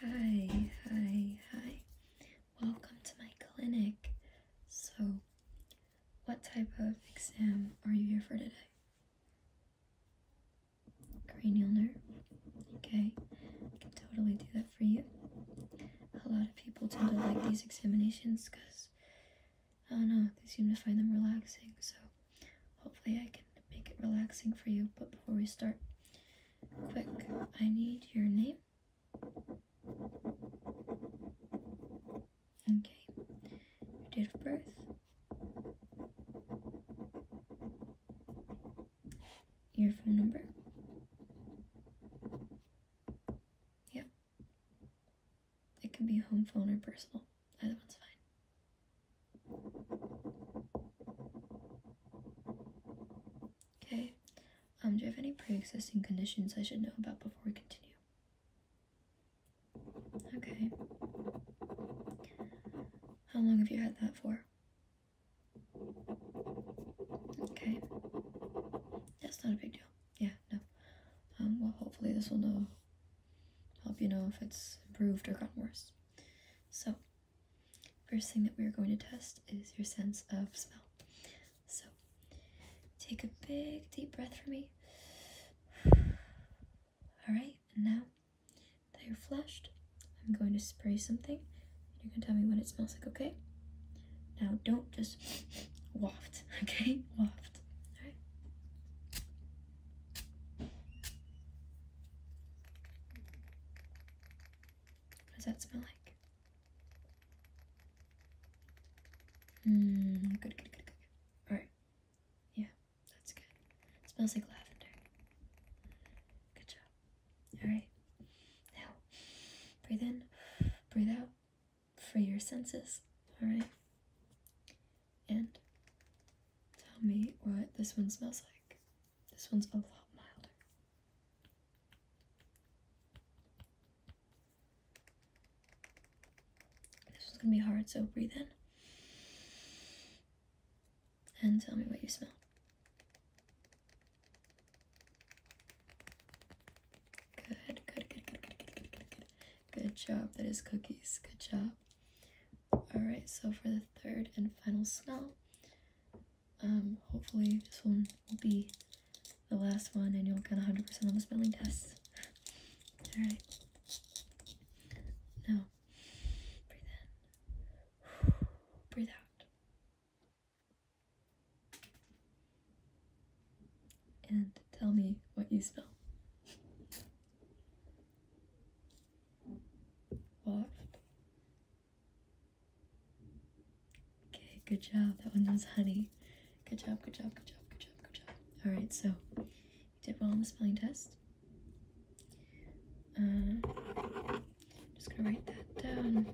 Hi, hi, hi. Welcome to my clinic. So, what type of exam are you here for today? Cranial nerve. Okay, I can totally do that for you. A lot of people tend to like these examinations because, I don't know, they seem to find them relaxing. So, hopefully, I can make it relaxing for you. But before we start, quick, I need your name. Okay. Your date of birth. Your phone number. Yeah, It can be home phone or personal. Either one's fine. Okay. Um, do you have any pre-existing conditions I should know about before we continue? Okay. How long have you had that for? Okay. That's not a big deal. Yeah, no. Um, well, hopefully this will help you know if it's improved or gotten worse. So, first thing that we're going to test is your sense of smell. So, take a big deep breath for me. Alright, and now that you're flushed, I'm going to spray something. You are gonna tell me what it smells like, okay? Now, don't just waft, okay? Waft. Alright? What does that smell like? Mmm, good, good, good, good. Alright. Yeah, that's good. smells like lavender. Good job. Alright. Now, breathe in, breathe out. For your senses. Alright and tell me what this one smells like. This one's a lot milder. This one's gonna be hard, so breathe in. And tell me what you smell. Good, good, good, good, good, good, good, good. Good job. That is cookies. Good job. Alright, so for the third and final smell, um, hopefully this one will be the last one and you'll get 100% on the smelling test. Alright. Now, breathe in. Breathe out and tell me what you smell. Waft. Okay, good job. That one was honey. Good job, good job, good job, good job, good job. Alright, so you did well on the spelling test. Uh, I'm just gonna write that down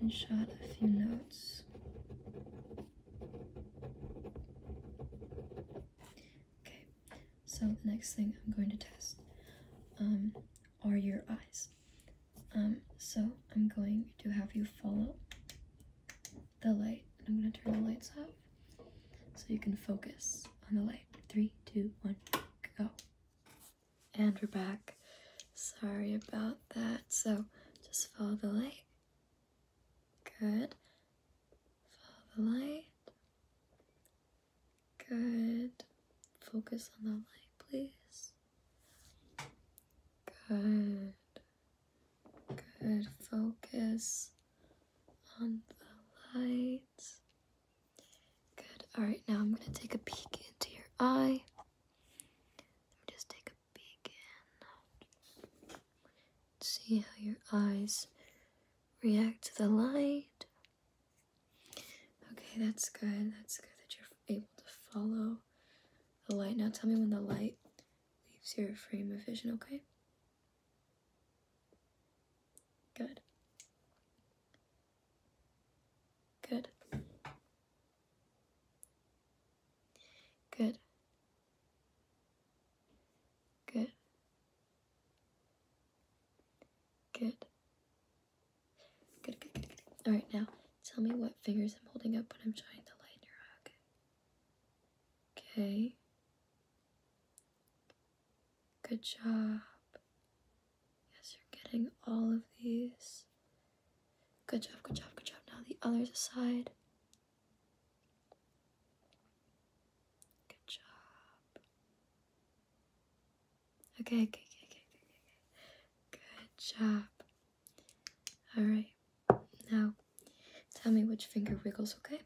and jot a few notes. Okay, so the next thing I'm going to test um, are your eyes. Um, so I'm going to have you follow the light. I'm going to turn the lights off so you can focus on the light. Three, two, one, go. And we're back. Sorry about that. So just follow the light. Good. Follow the light. Good. Focus on the light, please. Good. Good. Focus on the lights. Good. All right, now I'm going to take a peek into your eye. Let me just take a begin. See how your eyes react to the light. Okay, that's good. That's good that you're able to follow the light. Now tell me when the light leaves your frame of vision, okay? Good. Good. Good. Good. Good. Good, good, good, All right, now tell me what fingers I'm holding up when I'm trying to light your eye, okay? Okay. Good job. Yes, you're getting all of these. Good job, good job, good job. Now the others aside. Good job. Okay, okay, okay, okay, okay, okay. Good job. Alright. Now, tell me which finger wiggles, okay?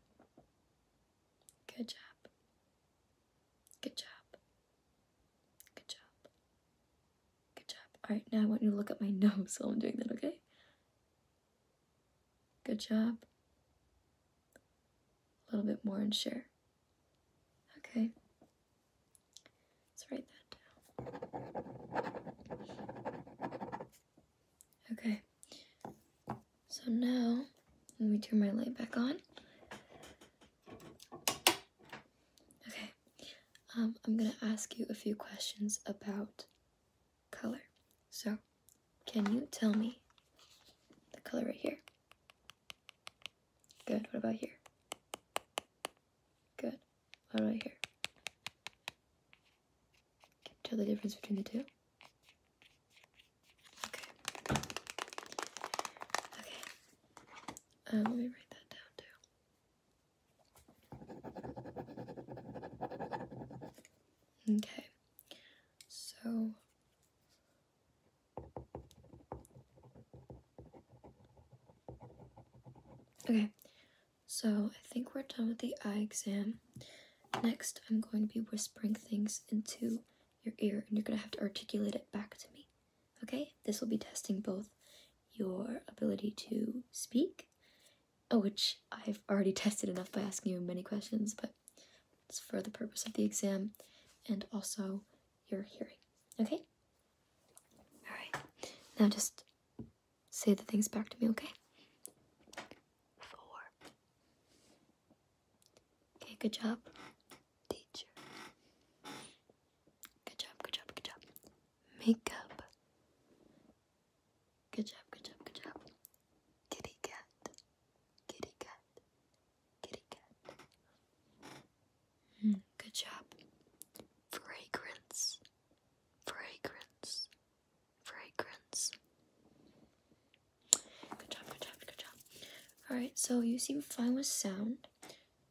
Good job. Good job. Good job. Good job. Alright, now I want you to look at my nose while I'm doing that, okay? Good job. A little bit more and share. Okay. Let's write that down. Okay. So now let me turn my light back on. Okay, um, I'm gonna ask you a few questions about color. So, can you tell me the color right here? Good, what about here? Good, what about here? Can tell the difference between the two? Okay. Okay. Um, let me write that down too. Okay, so okay, so I think we're done with the eye exam. Next, I'm going to be whispering things into your ear, and you're gonna have to articulate it back to me. Okay, this will be testing both your ability to speak, uh, which I've already tested enough by asking you many questions, but it's for the purpose of the exam, and also your hearing. Okay? Alright, now just say the things back to me, okay? Four, Okay, good job, teacher. Good job, good job, good job. Makeup. Good job, good job, good job. Kitty cat. Kitty cat. Kitty cat. Hmm, good job. Fragrance. Fragrance. Fragrance. Good job, good job, good job. Alright, so you seem fine with sound.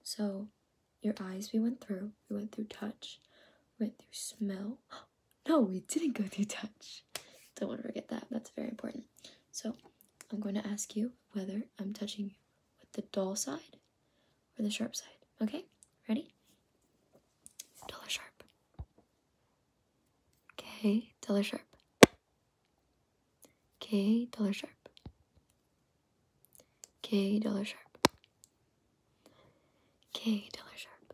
So your eyes we went through. We went through touch. We went through smell. no, we didn't go through touch. Don't want to forget that. That's very important. So I'm going to ask you whether I'm touching you with the dull side or the sharp side. Okay? Ready? Dull or sharp? Okay, dull or sharp? K dollar sharp. K dollar sharp. K dollar sharp.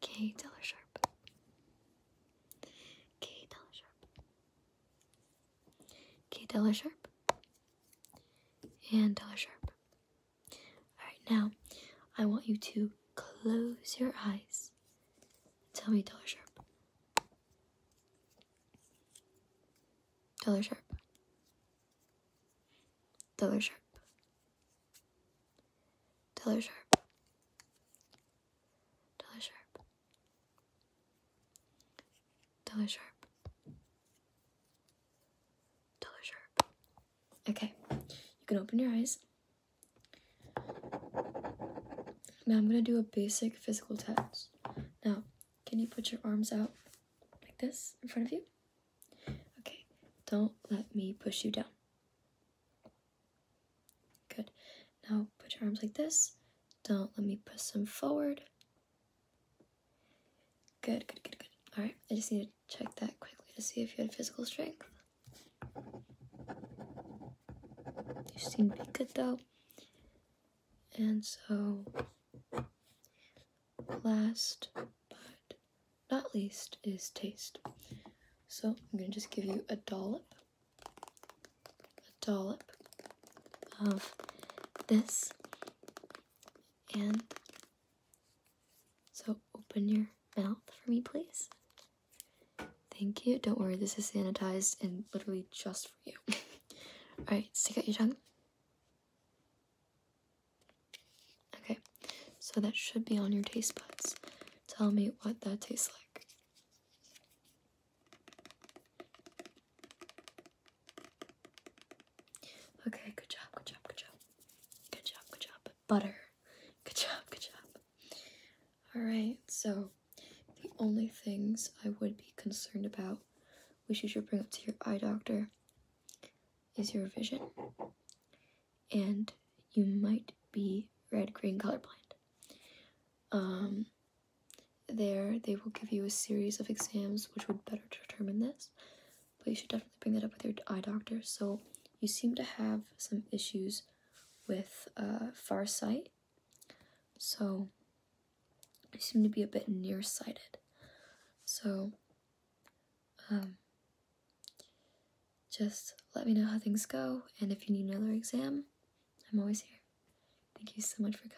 K dollar sharp. K dollar sharp. K dollar sharp. And dollar sharp. Alright, now I want you to close your eyes. Tell me dollar sharp. Dollar sharp. Dollar sharp. Dollar sharp. Dollar sharp. Dollar sharp. Dollar sharp. Okay, you can open your eyes. Now I'm gonna do a basic physical test. Now, can you put your arms out like this in front of you? Okay, don't let me push you down. Good. Now put your arms like this. Don't let me push them forward. Good, good, good, good. All right, I just need check that quickly to see if you had physical strength. You seem to be good though. And so, last but not least is taste. So I'm gonna just give you a dollop, a dollop of this, and so open your mouth for me, please. Thank you. Don't worry, this is sanitized and literally just for you. Alright, stick out your tongue. Okay, so that should be on your taste buds. Tell me what that tastes like. Okay, good job, good job, good job. Good job, good job. Butter. Good job, good job. Alright, so the only things I would be concerned about, which you should bring up to your eye doctor, is your vision. And you might be red green colorblind. Um, there, they will give you a series of exams which would better determine this but you should definitely bring that up with your eye doctor. So you seem to have some issues with uh, farsight, so you seem to be a bit nearsighted. So um, just let me know how things go, and if you need another exam, I'm always here. Thank you so much for coming.